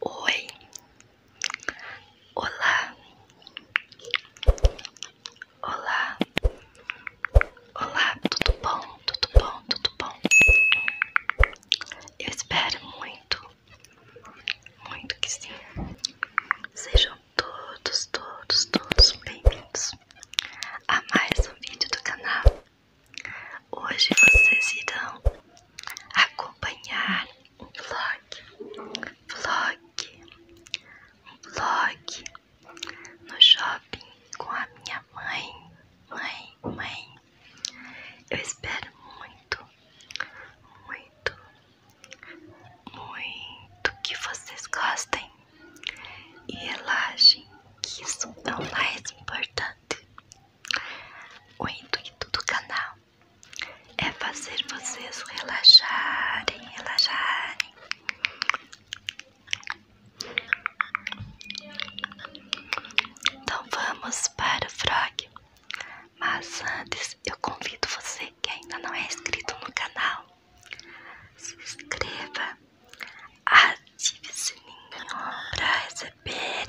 Oi, olá, olá, olá, tudo bom, tudo bom, tudo bom. Eu espero muito, muito que sim. Sejam todos, todos, todos bem-vindos a mais um vídeo do canal. Hoje vocês irão acompanhar um vlog, vlog, um vlog no shopping com a minha mãe, mãe, mãe. Eu espero muito, muito, muito que vocês gostem e relaxem, que isso é o mais importante. O intuito do canal é fazer vocês relaxarem, relaxarem. Então vamos para o frog. Mas antes eu convido você que ainda não é inscrito no canal se inscreva, ative o sininho para receber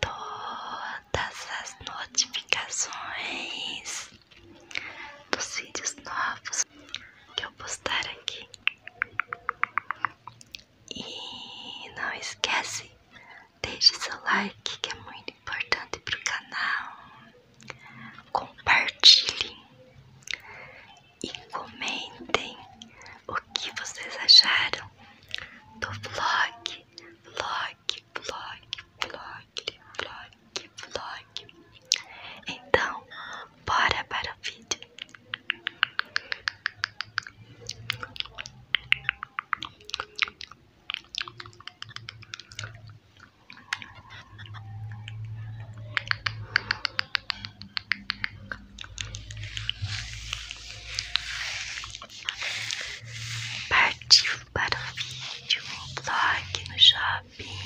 todas as notificações dos vídeos novos que eu postar aqui. E não esquece, deixe seu like que é muito importante para o canal compartilhem e comentem o que vocês acharam do vlog, vlog, vlog, vlog, vlog, vlog. Então, bora para o vídeo. Partiu para o vídeo, vlog no shopping.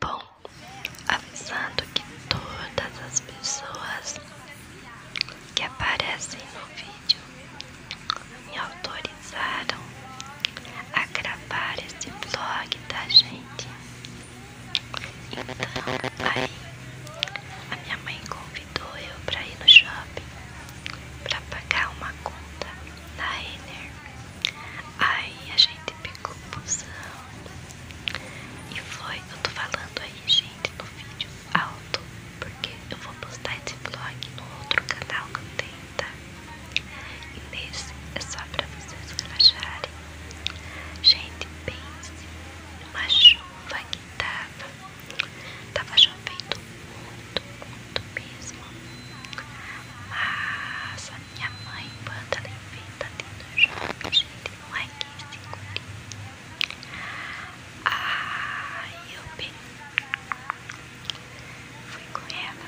Bom, avisando que todas as pessoas que aparecem no vídeo me autorizaram a gravar esse vlog da tá, gente. Então, aí a minha mãe convidou eu para ir no shopping para pagar uma conta da Ener. Aí a gente pegou o e foi, eu tô falando aí, gente, no vídeo alto, porque eu vou postar esse vlog no outro canal que eu tenho, tá? E nesse é só pra vocês relaxarem. Gente, pense numa chuva que tava. Tava chovendo muito, muito mesmo. Mas minha mãe, quando ela inventa lindo jovem, gente, não é que esse cookie. Aí ah, eu bem fui com ela,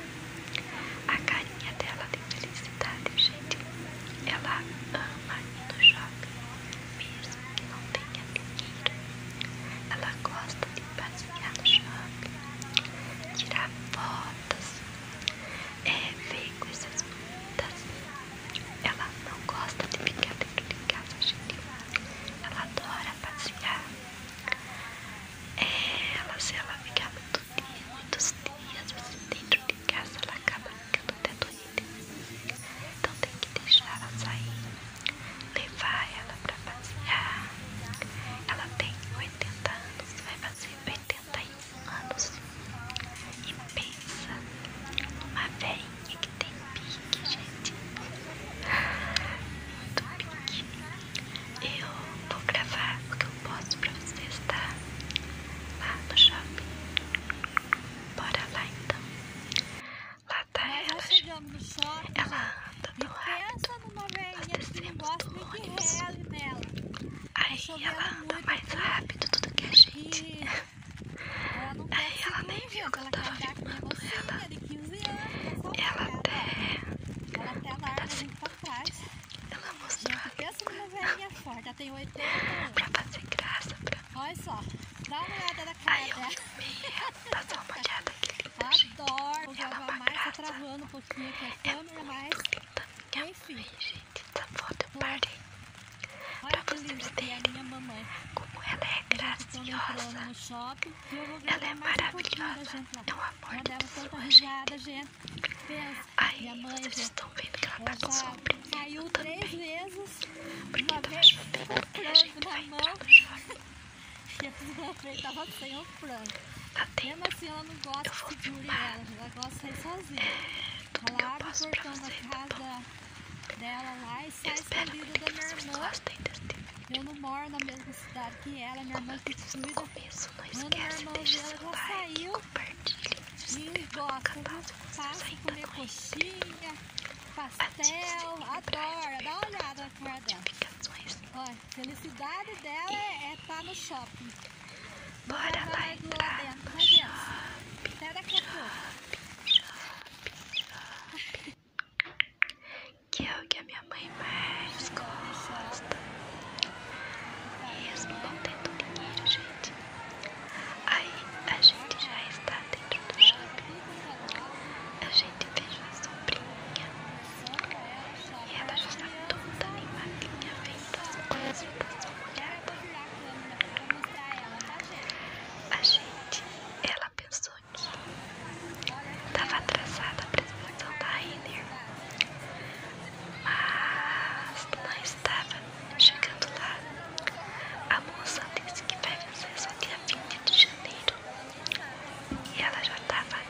a carinha dela de felicidade, gente, ela ama lindo jovem, mesmo que não tenha dinheiro, ela gosta de passear no shopping, tirar fotos, é, ver coisas essas Ela não gosta de ficar dentro de casa, gente. Ela adora passear. É, ela, se ela ficar muito dia, muitos dias mas dentro de casa, ela acaba ficando até doente. Então tem que deixar ela sair, levar ela pra passear. Ela tem 80 anos, vai fazer 80 71 anos e pensa numa velhinha que tem pique, gente. Muito pique. Eu vou gravar o que eu posso pra vocês, tá? Lá no shopping. Bora lá então. Lá tá ela. Ela anda do lado toda numa tá veinha que gosta nem que reze nela. Aí ela anda mais rápido do que a gente. Aí ela nem viu que ela tava Ela, é ela, de 15 né? ela até... É ela até larga pra trás. Ela mostrou... Gente, pensa forte, ela tem 80 anos. Pra fazer graça. Olha só, dá uma olhada na cara Aí dela. Aí eu dormi, ela passou uma olhada Adoro, vou gravar mais, tá travando fofinha com a câmera, é né? mas... linda. Minha Enfim. mãe, gente, essa tá foto eu parei Olha pra vocês terem é minha mamãe. como ela é graciosa. No shopping, ela é maravilhosa. Um não amor de pessoa, risada, assim. gente. Pensa, Aí, minha mãe, vocês já... estão vendo que ela tá com sombra. Caiu três vezes. Porque uma tava vez, chovendo, a gente vai entrar no shopping. e a fisioterapeuta tava sem o até Tá Mesmo assim, ela não gosta de que ela, ela gosta de sair sozinha. É, ela abre o portão da tá casa dela lá e sai escondida da minha irmã. Eu não moro na mesma cidade que ela, minha irmã que cuida. Quando minha irmã dela já saiu, e gosta de passa comer coxinha, pastel, adora. Dá uma olhada na cara dela. Olha, felicidade dela é estar é tá no shopping. Bora lá entrar shopping, é shopping, shopping, Que é o que a minha mãe mais gosta. Mesmo não tendo dinheiro, gente. Aí a gente já está dentro do shopping. A gente fez uma sobrinha. E ela já está toda animadinha, vendo as coisas das A gente, ela pensou que estava atrasada para a apresentação da Rainer, mas não estava chegando lá. A moça disse que vai vencer só dia 20 de janeiro. E ela já estava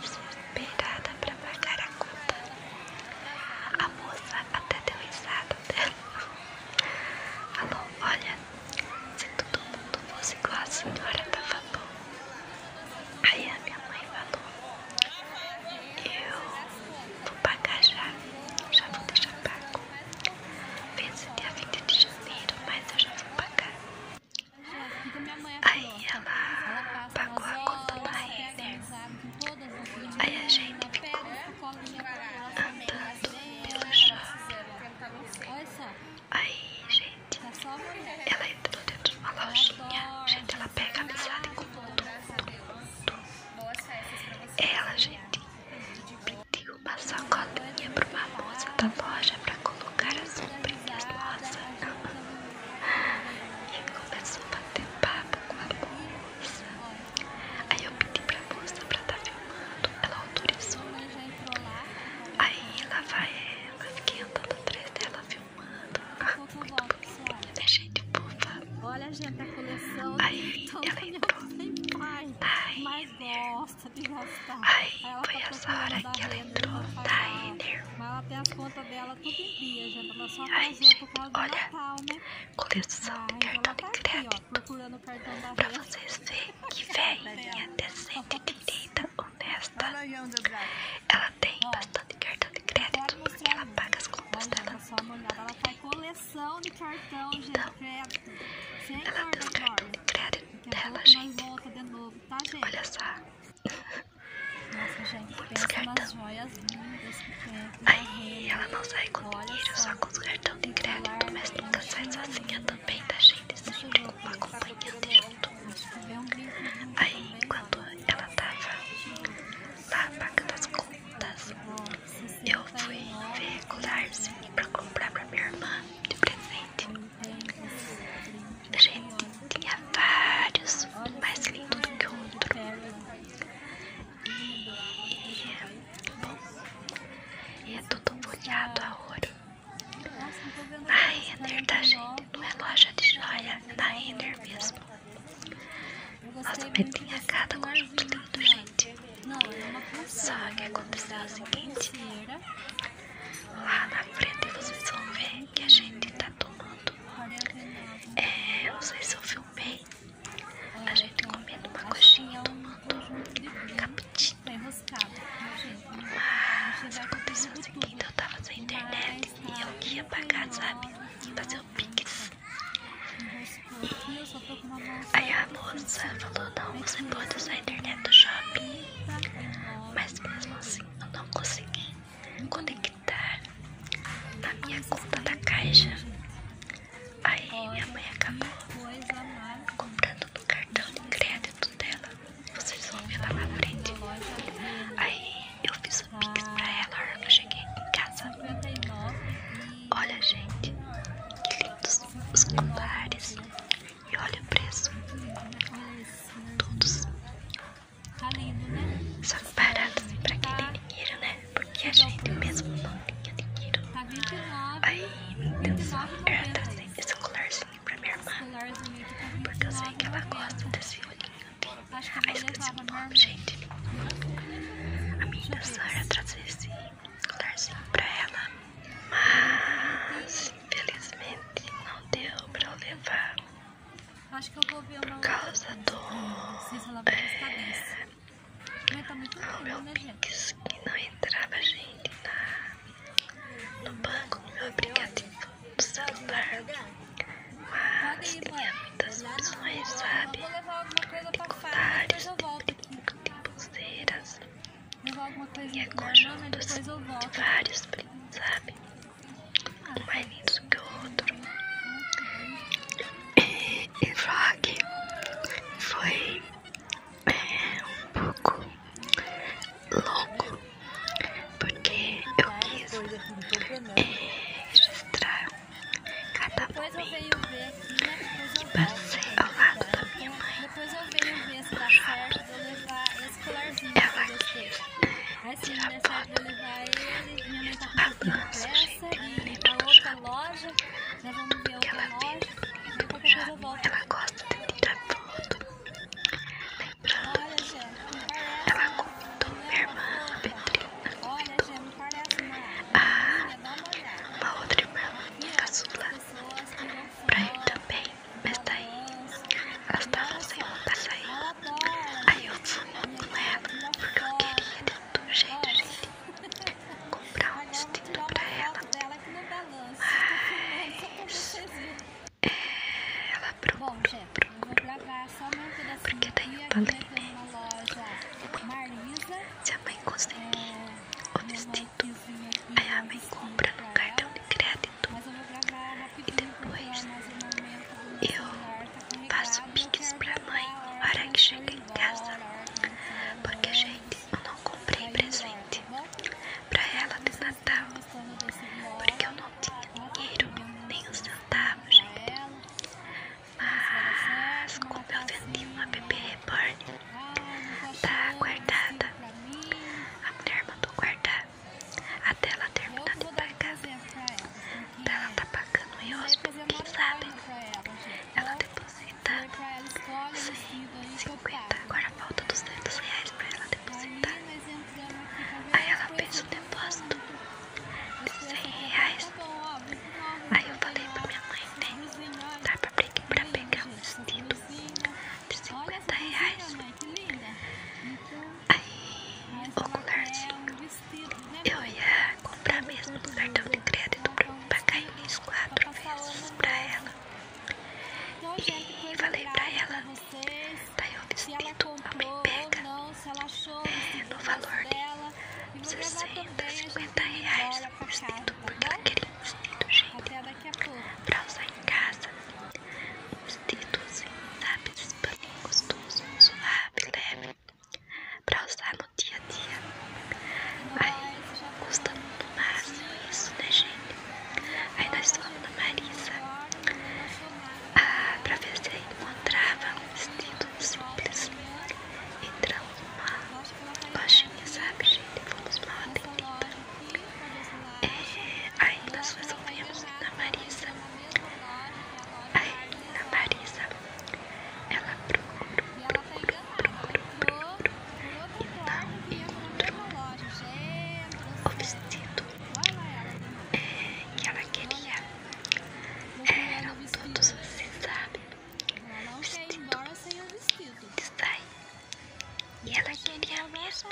desesperada para pagar a conta. A moça até deu risada dela. Falou: Olha, se todo mundo fosse igual a senhora, tava bom. Aí a minha mãe falou: Eu vou pagar já, já vou deixar pago. Vence dia 20 de janeiro, mas eu já vou pagar. Aí ela pagou a conta pra Renner. Aí a gente ficou andando pelo shopping. Aí, gente, ela entrou dentro de uma lojinha. Gente, ela pega a mesada com todo mundo. Ela, gente, pediu uma sacolinha pra uma moça da loja pra colocar as sombrinhas nossa. E ele começou a bater papo com a moça. Aí eu pedi pra moça pra estar tá filmando, ela autorizou. Aí lá vai ela, fiquei andando atrás dela filmando. Ah, muito bonitinha, né, gente? Fofa. Olha, gente, a coleção. Aí ela entrou. Dainer. Aí foi tá essa hora que ela entrou. Dainer ela gente. olha, né? Coleção de tá cartão de crédito. Aqui, Pra vocês verem que velhinha tá decente, direita, honesta. Ela tem bastante cartão de crédito porque ela paga as contas dela. ela faz tá coleção de cartão, então, ela tem os de crédito dela, gente. Olha só. Nossa, gente, Muitos pensa Aí ela não sai com Olha dinheiro, só. só com os cartões de crédito, mas nunca sai sozinha também, da gente? Sempre com uma acompanhante junto. Aí, enquanto ela tava lá pagando as contas, eu fui ver colarzinho pra comprar pra minha irmã de presente gente tinha vários, mais lindo do que o outro. E, bom, e é tudo molhado ouro Na Renner, tá gente? Não é loja de joia, é na Renner mesmo. Nossa, mas tinha cada conjunto lindo, gente. Só que aconteceu o seguinte: lá na frente vocês vão ver que a gente tá tomando. É, não sei se eu filmei. A gente comendo uma coxinha, tomando capitinho. Mas aconteceu o seguinte: eu tava na internet e eu ia pagar, sabe? Fazer o Pix. E aí a moça falou: Não, você pode usar a internet do shopping. Mas mesmo assim, eu não consegui conectar é tá na minha conta da caixa. Aí minha mãe acabou comprando no cartão de crédito dela. Vocês vão ver lá na frente. Aí eu fiz o pix pra ela quando eu cheguei em casa. Olha gente, que lindos os colares. E olha o preço. Todos. Só que barato assim pra quem tem dinheiro, né? Porque a gente mesmo não tinha dinheiro. Aí minha intenção era trazer esse colarzinho pra minha irmã. Porque eu sei que ela gosta desse olhinho aqui. Ai, esqueci o nome, gente. A minha intenção era trazer esse colarzinho pra ela. Mas infelizmente não deu pra eu levar. Acho que eu vou ver uma causa do... Não sei se ela vai gostar é... Mas tá muito lindo, meu né, gente? que não entrava gente na... no banco, no meu aplicativo, no celular. Mas tinha muitas opções, sabe? Eu vou levar alguma coisa pra fora, depois eu volto aqui. Pulseiras. Levar alguma coisa pra fora, depois eu volto. Vários, sabe? um mais lindo que o outro. E, o só foi é, um pouco louco, porque eu quis é, registrar cada momento né? e passei ao lado da minha mãe no vou levar esse colarzinho que eu gostei. Assim, a época eu vou levar ele, minha mãe tá com um pressa, e pra outra loja, nós vamos ver outra loja, e qualquer eu volto. Ela gosta de tirar foto. Olha, Gê, não parece. Ela contou, minha irmã, Petrina. Olha, Gê, não parece uma menina, dá uma olhada. Uma outra irmã, caçula. Pra ele também. Besta aí, elas estavam sem vontade de Aí eu fui com ela, porque eu queria de todo jeito, gente, comprar um vestido pra ela. Mas é, ela procurou, procurou, assim, porque daí eu falei, né? Se a mãe conseguir é, o vestido, aí a mãe compra no cartão de crédito. E depois eu faço piques pra mãe na hora que chega em casa. Porque, gente, eu não comprei presente pra ela de Natal. Porque eu não tinha dinheiro, nem um centavos gente. Mas, como eu vendi a bebê reborn, tá guardada. A mulher mandou guardar pagar até ela terminar de pagar. Ela tá pagando em hóspede, quem sabe? Ela deposita 150, agora falta 200 reais pra ela depositar. Aí ela fez o depósito de 100 reais. Aí eu falei pra minha mãe, né? Dá pra pegar um vestido de 50 reais que linda. Aí, o colarzinho. Eu ia comprar mesmo do cartão de crédito pra pagar isso quatro vezes pra ela. E falei pra ela, daí tá, eu despido, a mãe pega no valor de 60, 50 reais o vestido, porque ela queria um vestido, gente daqui Pra usar em casa. Os dedos, sabe? Esse paninho gostoso, suave, leve. Pra usar no dia a dia. Aí custa no máximo isso, né, gente? Aí nós fomos na Marisa. Ah, pra ver se encontrava um vestido simples. Entramos numa lojinha, sabe, gente? Fomos mal atendidas. É, aí nós resolvemos a Marisa. Aí na Marisa, ela procurou, procurou, procurou, procurou e não encontrou o vestido é, que ela queria. É, eram todos, você sabe, vestido de sair. E ela queria mesmo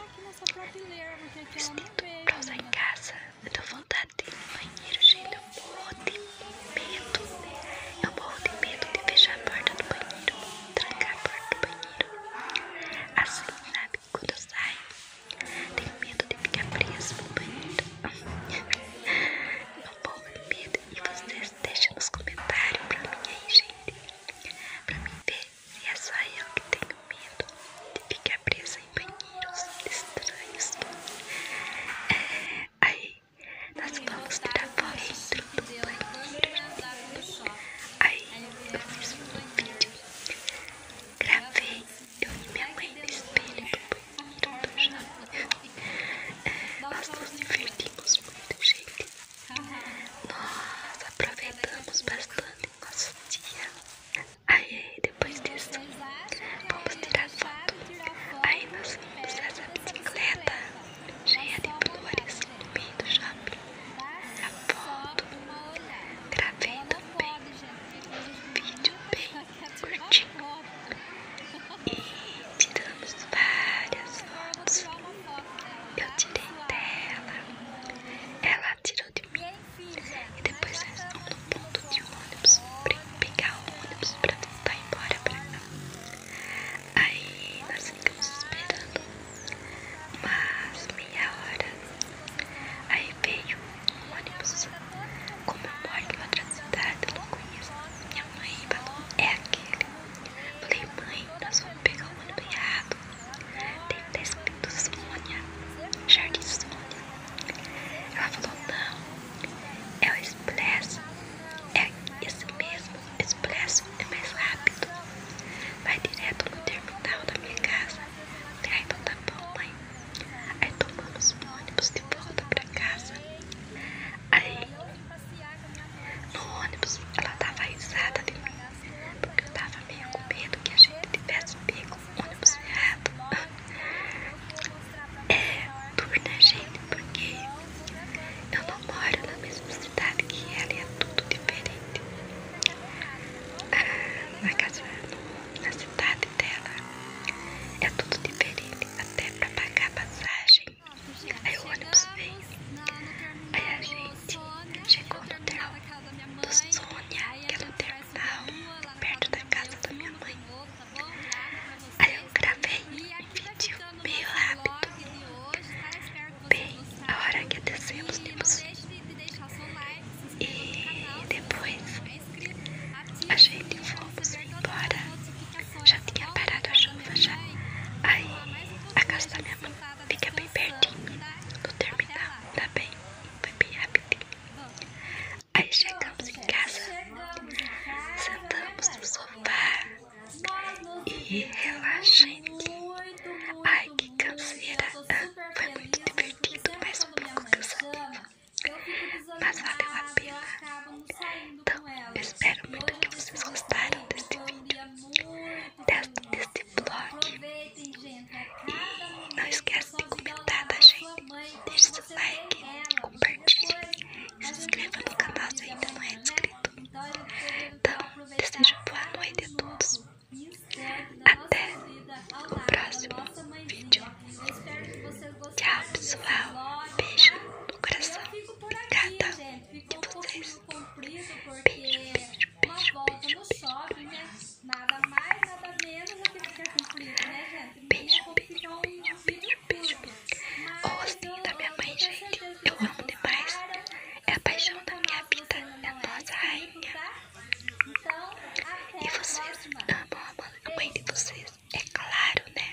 pausa em casa. Eu tô vontade de ir no banheiro, gente. Eu morro de medo. Eu morro de medo de fechar a porta do banheiro. Trancar a porta do banheiro. Assim, sabe? Quando eu saio, tenho medo de ficar preso no banheiro. Não morro de medo. E vocês deixem nos comentários pra mim aí, gente. Pra mim ver e é só eu que tenho medo de ficar presa em banheiros estranhos. É, aí nós vamos tirar foto dentro Aí eu fiz um vídeo, gravei, eu vi minha mãe no do banheiro é, nós nos divertimos muito, gente. Nós aproveitamos bastante o nosso dia. Aí, depois disso, vamos tirar foto. Aí nós vimos essa bicicleta cheia de flores no meio do shopping. A foto. Gravei também um vídeo bem curtinho. E tiramos várias fotos. Eu tirei dela, ela tirou de mim e depois nós estamos no ponto de ônibus para pegar o ônibus para tentar ir embora pra Aí nós ficamos esperando umas meia hora. Aí veio um ônibus. Como eu moro em outra cidade, eu não conheço. Minha mãe falou: É aquele. Falei, mãe, nós vamos pegar o ônibus errado. Tem escrito Sônia, Jardim Sônia. Ela falou, não, é o expresso, é esse mesmo, expresso é mais rápido. Vai direto no terminal da minha casa. Aí então tá bom, mãe. Aí tomamos um ônibus de volta pra casa. Aí no ônibus ela tava risada de mim porque eu tava meio com medo que a gente tivesse pego o ônibus errado. É duro, né, gente? Porque eu não moro na mesma cidade que ela e é tudo diferente. Ah, na casa, na cidade dela, é tudo diferente, até pra pagar a passagem. Aí o ônibus vem, aí a gente chegou no hotel do Sônia, que é perto da casa da minha mãe. Aí eu gravei um vídeo meio rápido. Bem, a hora que descemos temos e depois a gente fomos embora. Já tinha parado a chuva já. Aí a casa da minha mãe. Fica bem pertinho no terminal, tá bem? Foi bem rapidinho. Aí chegamos em casa, sentamos no sofá e relaxante. Ai, que canseira! Foi muito divertido, mas um pouco cansativo. Mas valeu a pena. Então, espero muito que vocês gostaram deste vídeo deste blog. E não esqueça de comentar, tá, gente? Deixe seu like, compartilhe, se inscreva no canal se ainda não é inscrito. Então, desejo boa noite a todos. Até o próximo vídeo. Tchau, pessoal. Beijo no coração. Obrigada. E todos cumprido porque uma volta no shopping, né? Nada mais, nada menos do que ser cumprido né, gente? beijo beijo beijo beijo beijo vídeo curto. Mas assim, eu, eu, eu tenho certeza que vocês gostaram. É a paixão da minha vida, da é é? nossa rainha. Então, até a próxima. Amam a mãe de vocês, é claro, né?